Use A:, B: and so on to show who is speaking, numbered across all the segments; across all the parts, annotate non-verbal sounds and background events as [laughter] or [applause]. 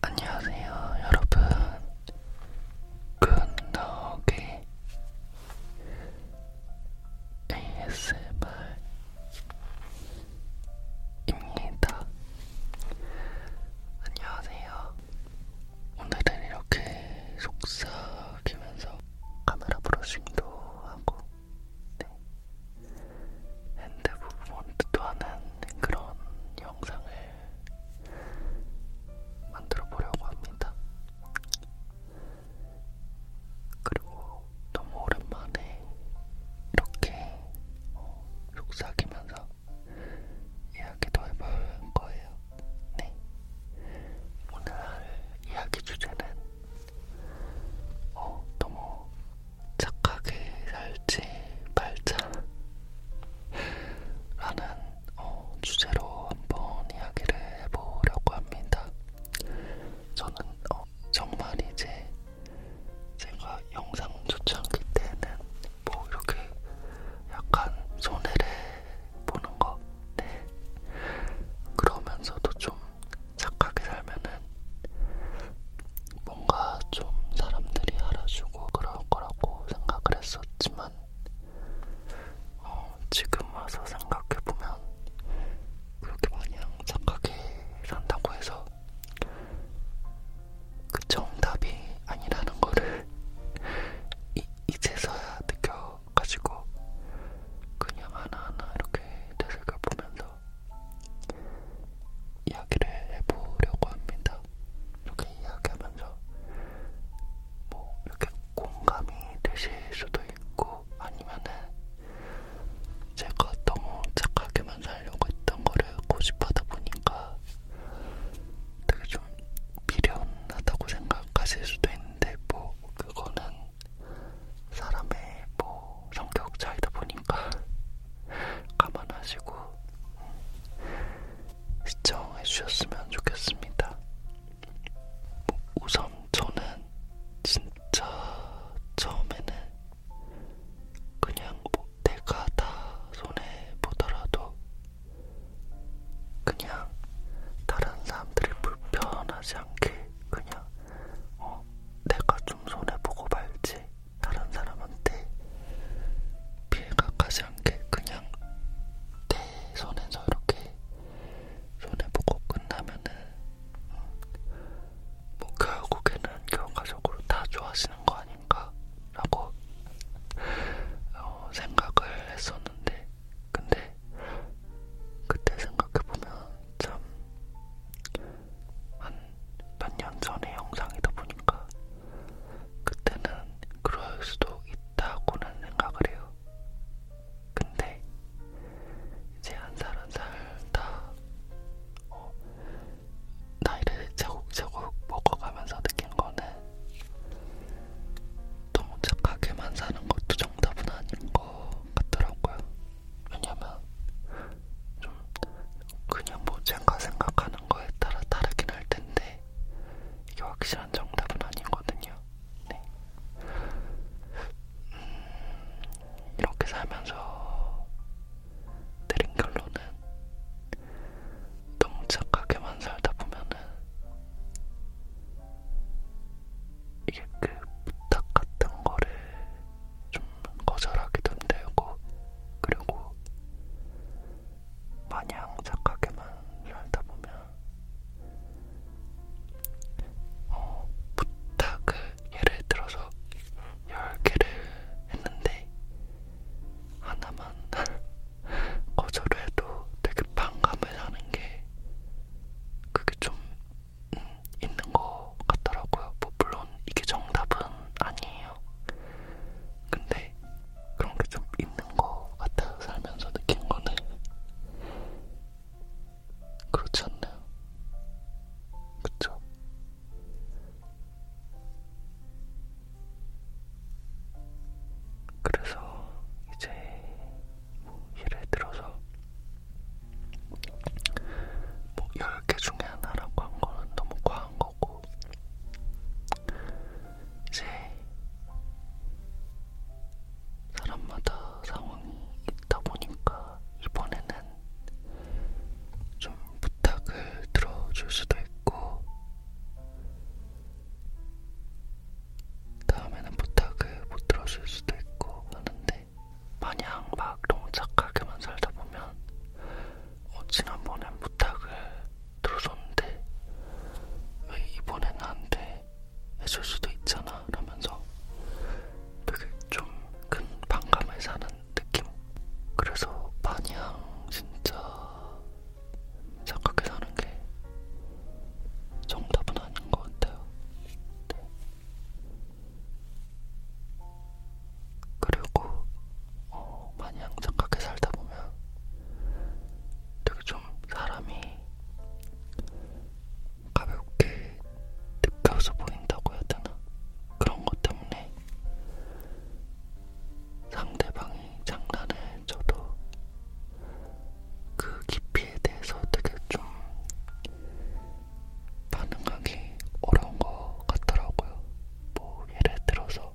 A: 안녕하세요, 여러분. 굿노게 ASMR입니다. 안녕하세요. 오늘은 이렇게 속삭이면서 카메라 브러싱도 하고 네. 핸드 부분도 하는 그런 영상을 만들어 보려고 합니다. 그리고 너무 오랜만에 이렇게 어, 속삭이면서 이야기도 해볼 거예요. 네. 오늘 할 이야기 주제는 어, 너무 착하게 살지 말자 라는 어, 주제로 한번 이야기를 해보려고 합니다. 저는 어, 정말 이제 제가 영상 초창기 때는 뭐 이렇게 약간 손해를 보는 거 네. 그러면서도 좀 착하게 살면은 뭔가 좀 사람들이 알아주고 그럴 거라고 생각을 했었지만 어, 지금 와서 생각해보면 그렇게 마냥 착하게 산다고 해서 그 정답이 아니라는 거를 이, 이제서야 느껴가지고 그냥 하나하나 이렇게 되새겨보면서 걸로 이야기를 해보려고 합니다. 이렇게 이야기하면서 뭐 이렇게 공감이 되실 수도 있고 아니면은 제가 너무 착하게만 살려고 했던 거를 고집하다 보니까 되게 좀 미련하다고 생각하실 수도 있는데 뭐 그거는 사람의 뭐 성격 차이다 보니 테니까 감안하시고 음, 시청해 주셨으면 좋겠습니다. 우선 저는 진짜 처음에는 그냥 뭐 내가 다 손해 보더라도 그냥 다른 사람들이 불편하지 않게 그냥 어 내가 좀 손해 보고 말지 다른 사람한테 피해가 가지 않게 그냥 내 손에서 이렇게 손에 보고 끝나면은 어, 뭐 결국에는 결과적으로 다 좋아하시는 거 아닌가라고 어, 생각을 했었는데 근데 그때 생각해보면 참 한몇년 전의 영상이다 보니까 그때는 그럴 수도 있다고는 생각을 해요. 근데 이제 한 살 한살 한살다 어, 나이를 제곡제곡 먹어가면서 느낀 거는 너무 착하게만 사는 것도 정답은 아닌 것 같더라고요. 왜냐면 좀 그냥 뭐 제가 생각하는 거에 따라 다르긴 할 텐데 이게 확실한 정답은 아니거든요. 네. 음, 이렇게 살면서 내린 결론은 너무 착하게만 살다 보면은 이게 그 부탁 같은 거를 좀 거절하기도 힘들고 그리고 마냥 착하게만 살다 보면 어, 부탁을 예를 들어서 10개를 했는데 하나만 [laughs] 거절을 해도 되게 반감을 하는 게 그게 좀 음, 있는 것 같더라고요. 뭐 물론 이게 정답은 아니에요. 근데 그런 게좀 있는 것 같아요. 살면서 느낀 거는 그렇지 않나요? 그쵸? 그래서 이제 뭐 예를 들어서 뭐 10개 중에 하나라고 한 거는 너무 과한 거고 이제 사람마다 상황이 있다 보니까 이번에는 좀 부탁을 들어줄 수도 있고 다음에는 부탁을 못 들어줄 수도 있고 하는데 마냥 막 너무 착하게만 살다 보면 어, 지난번엔 부탁을 들어줬는데 왜 이번엔 나한테 해줄 수도 있잖아 라면서 되게 좀 큰 반감을 사는 느낌 그래서 마냥 진짜 착하게 사는 게 정답은 아닌 것 같아요 네. 그리고 어, 마냥 착하게 살다 보면 되게 좀 사람이 가볍게 느껴서 보인다고 해야 되나? 그런 것 때문에 상대방이 장난을 쳐도 그 깊이에 대해서 되게 좀 반응하기 어려운 것 같더라고요. 뭐 예를 들어서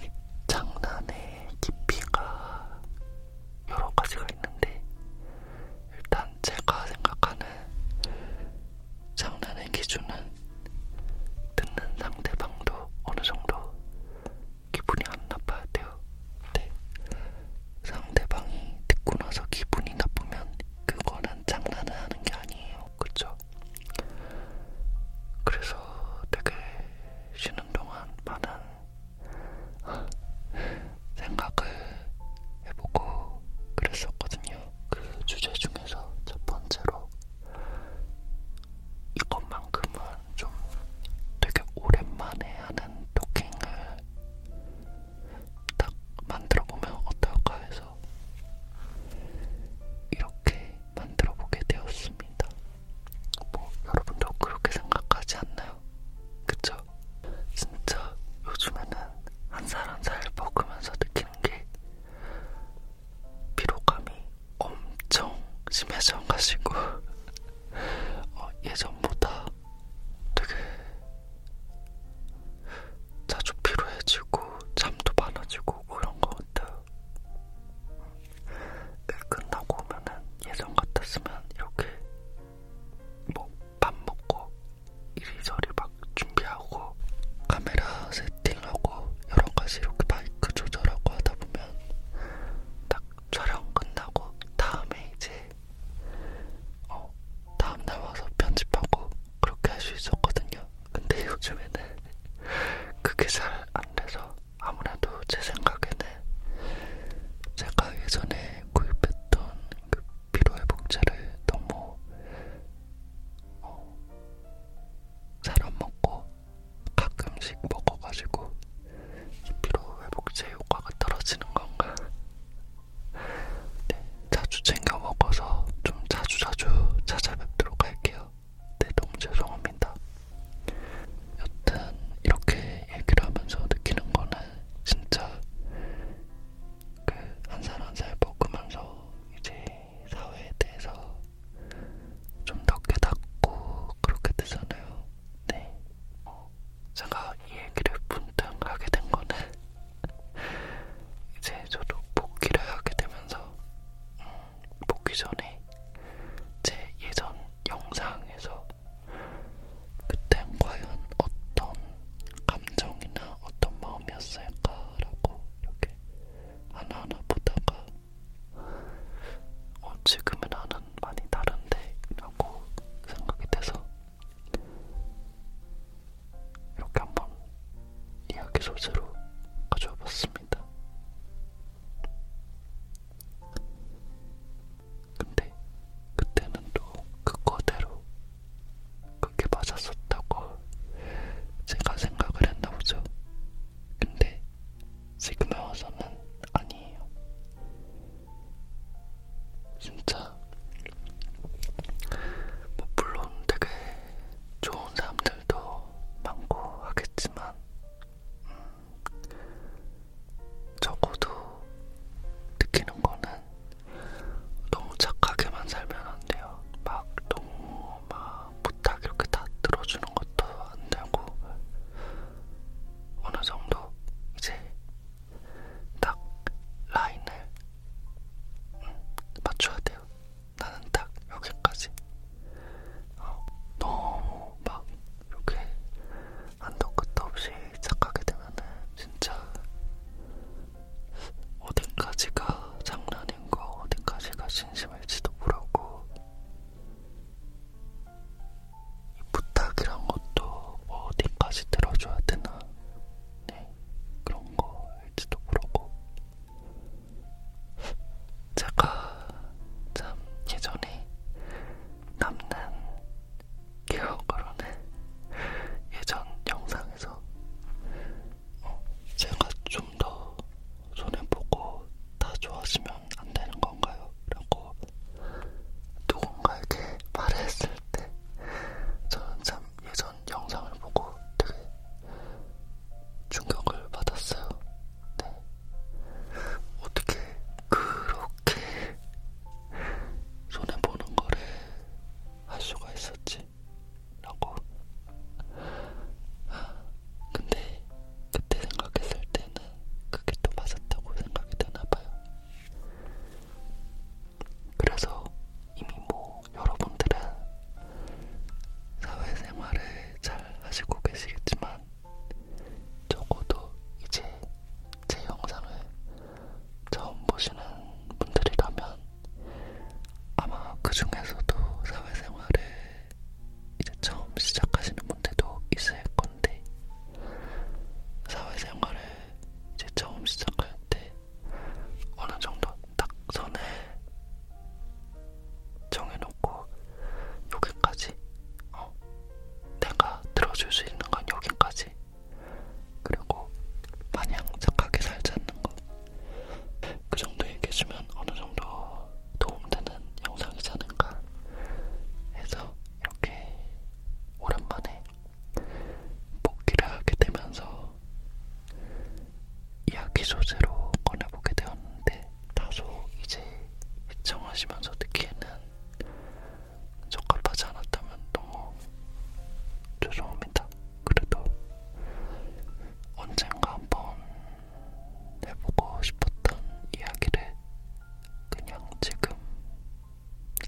A: 이 장난의 깊이가 여러 가지가 있는데 일단 제가 생각하는 장난의 기준은 듣는 상대방도 어느 정도 기분이 안 나빠야 돼요. 네. 상대방이 듣고 나서 기분이 나쁘면 그거는 장난을 하는 게 아니에요. 그쵸? 그래서 되게 쉬는 동안 많은 생각을 해보고 그랬었거든요. 그 주제 중에서 첫 번째로 이것만큼은 좀 되게 오랜만에 하는 토킹을 딱 만들어보면 어떨까 해서 이렇게 만들어보게 되었습니다. 뭐 여러분도 그렇게 생각하지 않나요? 그쵸? 진짜 요즘에는 한살한살 한살 먹으면서 느끼는 게 피로감이 엄청 심해져가지고 [laughs] 어, 예전보다 되게 자주 피로해지고 잠도 많아지고 그런 뭐 것 같아요. 일 네, 끝나고 오면은 예전 같았으면 이렇게 뭐 밥 먹고 이리저리 막 준비하고 카메라 세팅하고 여러 가지 이렇게 마이크 조절하고 하다 보면 딱 촬영 끝나고 다음에 이제 어, 다음날 와서 편집하고 그렇게 할 수 있었거든요. 근데 요즘에는 그게 잘안 돼서 아무래도 제 생각에는 제가 예전에 구입했던 그 피로회복제를 너무 어, 잘안 먹고 가끔씩 먹어가지고 피로회복제 효과가 떨어지는 건가 네, 자주 챙겨 먹어서 좀 자주자주 자주 찾아뵙도록 할게요. 네, 너무 죄송합니다. 여튼 이렇게 얘기를 하면서 느끼는 거는 진짜 그한살한살 한살 먹으면서 이제 사회에 대해서 좀 더 깨닫고 그렇게 되잖아요. 네. 제가 이 얘기를 문득 하게 된 거는 이제 저도 복귀를 하게 되면서 음, 복귀 전에 제 예전 영상에서 그땐 과연 어떤 감정이나 어떤 마음이었을까라고 이렇게 하나하나 보다가 어, 지금은 나는 많이 다른데 라고 생각이 돼서 이렇게 한번 이야기 소재로 가져와 봤습니다. 근데 그때는 또 그거대로 그렇게 맞았었다고 제가 생각을 했나 보죠. 근데 지금에 와서는 아니에요. 진짜 뭐 물론 되게 좋은 사람들도 많고 하겠지만 음, 적어도 느끼는 거는 너무 착하게만 살면 안 돼요. 막 너무 막 부탁 이렇게 다 들어주는 것도 안 되고 어느 정도 이제 딱 라인을 음, 맞춰야 돼요. 나는 딱 여기까지. 어, 너무 막 이렇게 한도 끝도 없이 착하게 되면은 진짜 어디까지가 장난인거 어디까지가 진심일지도 모르고 부탁이란 것도 뭐 어디까지 들어줘야 되나 네, 그런 거일지도 모르고 제가 참 예전에 남는 기억으로는 예전 영상에서 어, 제가 좀 더 손해보고 다 좋아지면 안 되는 건가요? 라고 누군가에게 말했을 때 저는 참 예전 영상을 보고 되게 충격을 받았어요. 네. 어떻게 그렇게 손해 보는 거를 할 수가 있었지? 라고. 아, 근데 그때 생각했을 때는 그게 또 맞았다고 생각이 되나봐요. 그래서 이미 뭐 여러분들은 사회생활을 잘 하시고 계시겠지만 적어도 이제 제 영상을 처음 보시는 분들이라면 아마 그 중에서도 사회생활을 이제 처음 시작하시는 분들도 있을 건데 사회생활을 이제 처음 시작할 때 어느 정도 딱 선을 정해놓고 여기까지 어, 내가 들어줄 수 있는 건 여기까지 그리고 마냥 착하게 살지 않는 것그 정도 얘기해주면 어느 정도 도움되는 영상이지 않을까 해서 이렇게 오랜만에 복귀를 하게 되면서 이야기 소재로 꺼내보게 되었는데 다소 이제 시청하시면서 듣기에는 적합하지 않았다면 너무 죄송합니다. 그래도 언젠가 한번 해보고 싶었던 이야기를 그냥 지금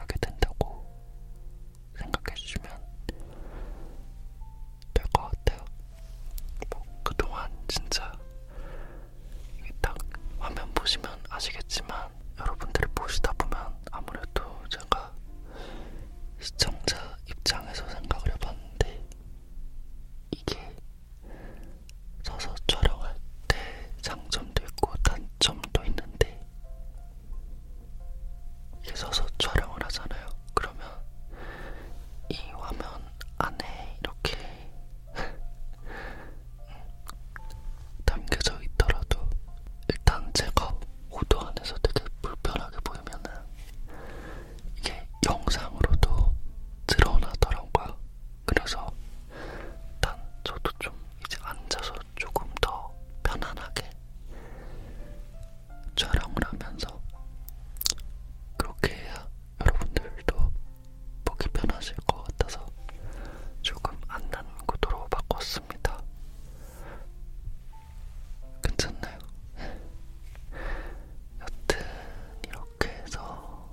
A: 하게 된다고 생각해 주시면 될 것 같아요. 뭐 그동안 진짜 이게 딱 화면 보시면 아시겠지만 여러분들이 보시다 보면 아무래도 제가 시청자 입장에서 생각을 해봤는데 이게 서서 촬영할 때 장점 장점도 있고 단점도 있는데 이게 서서 촬영을 하잖아요. 그러면 이 화면 안에 이렇게 [laughs] 담겨져 있더라도 일단 제가 호도 안에서 되게 불편하게 보이면은 이게 영상으로도 드러나더라고요. 그래서 단 저도 좀 이제 앉아서 조금 더 편안하게 촬영을 하면서 그렇게 해야 여러분들도 보기 편하실 것 같아서 조금 안단 구도로 바꿨습니다. 괜찮나요? 여튼 이렇게 해서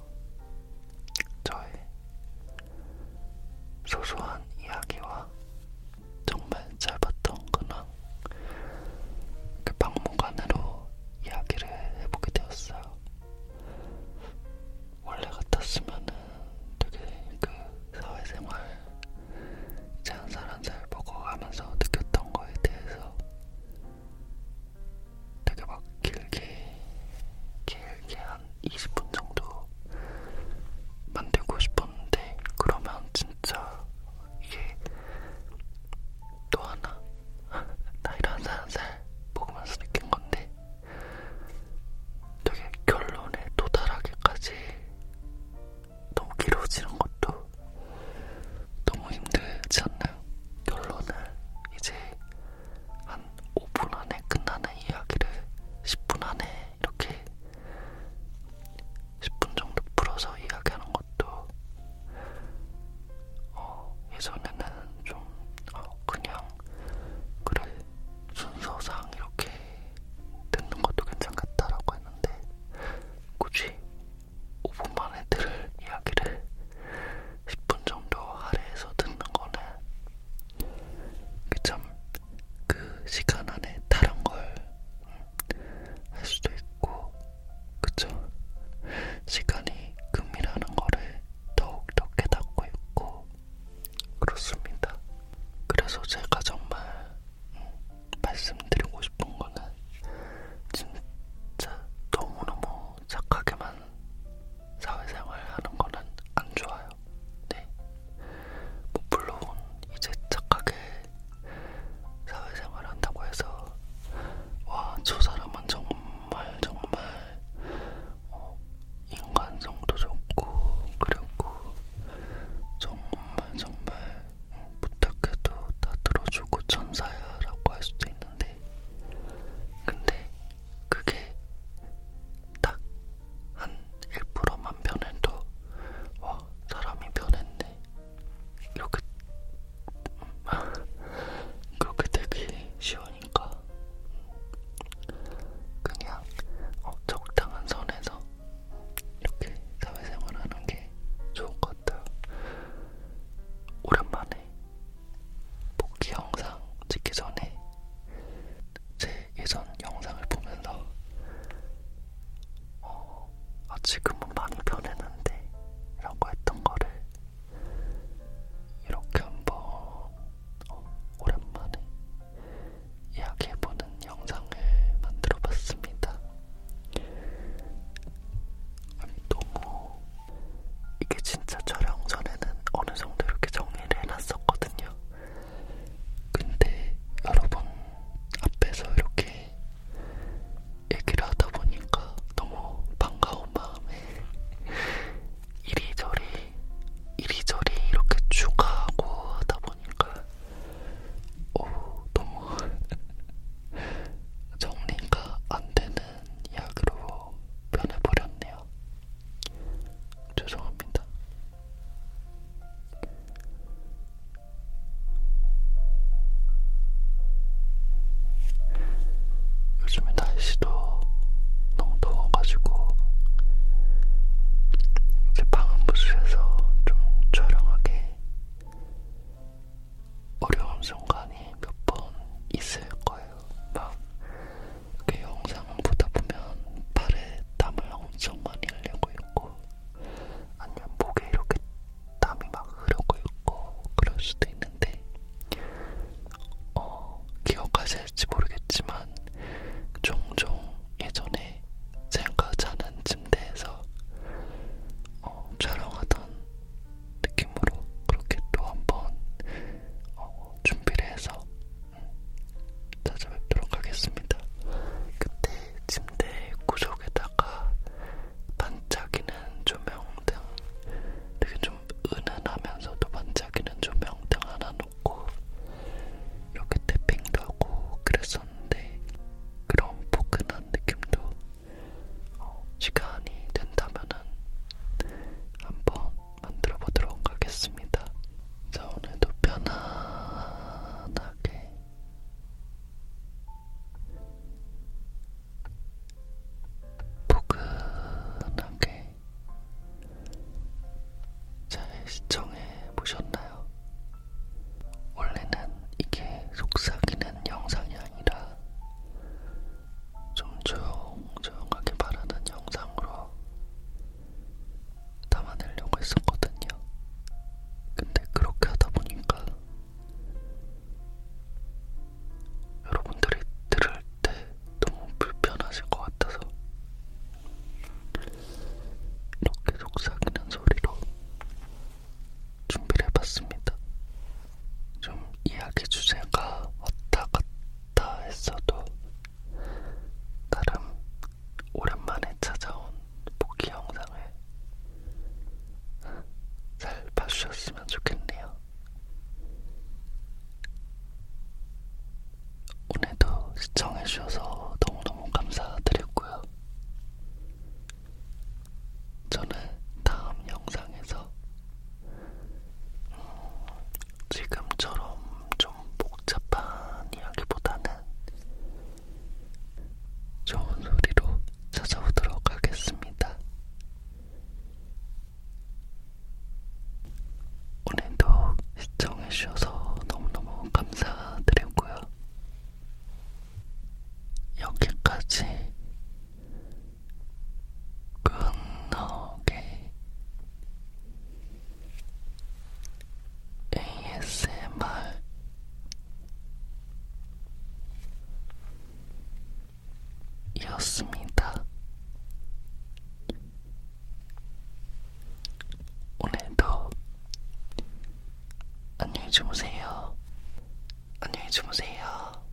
A: 저의 소소한 이야기와 정말 짧았던 근황 그 박물관으로 이야기를 해보게 되었어요. 원래 같았으면은 되게 그 사회생활 이제 한 사람 잘 먹어가면서 느꼈던 거에 대해서 되게 막 길게 길게 한 20분 정도 만들고 싶었는데 그러면 진짜 이게 또 하나 [laughs] 나이를 한살한살 먹으면서 느낀 건데 되게 결론에 도달하기까지 너무 길어지는 것도 너무 힘들지 않나요? 결론을 이제 한 5분 안에 끝나는 이야기를 10분 안에 이렇게 10분 정도 풀어서 이야기하는 것도 어, 예전에는 좀 어, 그냥 그래 순서상 이렇게 듣는 것도 괜찮겠다라고 했는데 굳이 5분 만에 들을 이야기를 10분 정도 아래에서 듣는 거는 참그 시간 안에 다른 걸 할 수도 있고 그쵸? 시간이 금이라는 거를 더욱 더 깨닫고 있고 그렇습니다. 그래서 제가 정말 음, 말씀드리고 싶은 거는 진짜 너무너무 착하게만 사회생활 하는 거는 안 좋아요. 네. 뭐 물론 이제 착하게 사회생활 한다고 해서 와, 저 사람은 정말 정말 어, 인간성도 좋고 그리고 정말 정말 부탁해도 다 들어주고 천사야라고 할 수도 있는데 근데 그게 딱 한 1%만 변해도 와 사람이 변했네 이렇게 음, [laughs] 그렇게 되기 쉬우니까 그냥 어, 적당한 선에서 이렇게 사회생활하는 게 좋은 것 같아요. 오랜만에 복귀 영상 찍기 전에 제 예전 영상을 보면서 어, 아 지금은 많이 변했는데 라고 했던 거를 이렇게 한번 어, 오랜만에 이야기해보는 영상을 만들어 봤습니다. 아니, 너무 이게 진짜 촬영 전에는 어느 정도 이렇게 정리를 해놨었거든요. 근데 여러분 앞에서 이렇게 얘기를 하다 보니까 너무 반가운 마음에 이리저리 이리저리 이렇게 추가하고 하다 보니까 어 너무 [laughs] 정리가 안 되는 이야기로 변해버렸네요. 죄송합니다. 요즘에 날씨도 너무 더워가지고 이제 방음부스에서 좀 촬영하기 어려운 순간이 몇 번 있을 거예요. 막그 영상 보다 보면 팔에 땀을 엄청 많이 흘리고 있고 아니면 목에 이렇게 땀이 막 흐르고 있고 그럴 수도 있는데 어, 기억하실지 모르겠지만 종종 예전에 제가 자는 침대에서 어, 촬영하던 느낌으로 그렇게 또한번 어, 준비를 해서 음, 찾아뵙도록 하겠습니다. 그때 침대 구석에다가 반짝이는 조명등 되게 좀 은은하면서도 반짝이는 조명등 하나 놓고 이렇게 태핑도 하고 그랬었는데 그런 포근한 느낌도 어, 시간이 된다면은 한번 만들어 보도록 하겠습니다. 자, 오늘도 편안하게 포근하게 잘 시청해 보셨나요? 원래는 이게 속삭이는 영상이 아니라 좀 조용조용하게 말하는 영상으로 담아내려고 했었거든요. 근데 그렇게 하다 보니까 여러분들이 들을 때 너무 불편하실 것 같아서 이렇게 속삭이는 소리로 준비를 해봤습니다. 좀 이야기 주제가 왔다 갔다 다 했어도 나름 오랜만에 찾아온 복귀 영상을 잘 봐주셨으면 좋겠네요. 오늘도 시청해주셔서 너무너무 감사드렸고요. 저는 다음 영상에서 지금처럼 좀 복잡한 이야기보다는 좋은 소리로 찾아오도록 하겠습니다. 오늘도 시청해주셔서 너무너무 감사드리고요. 여기까지 끝나게 ASMR 이었습니다. 오늘도 안녕히 주무세요. 안녕히 주무세요.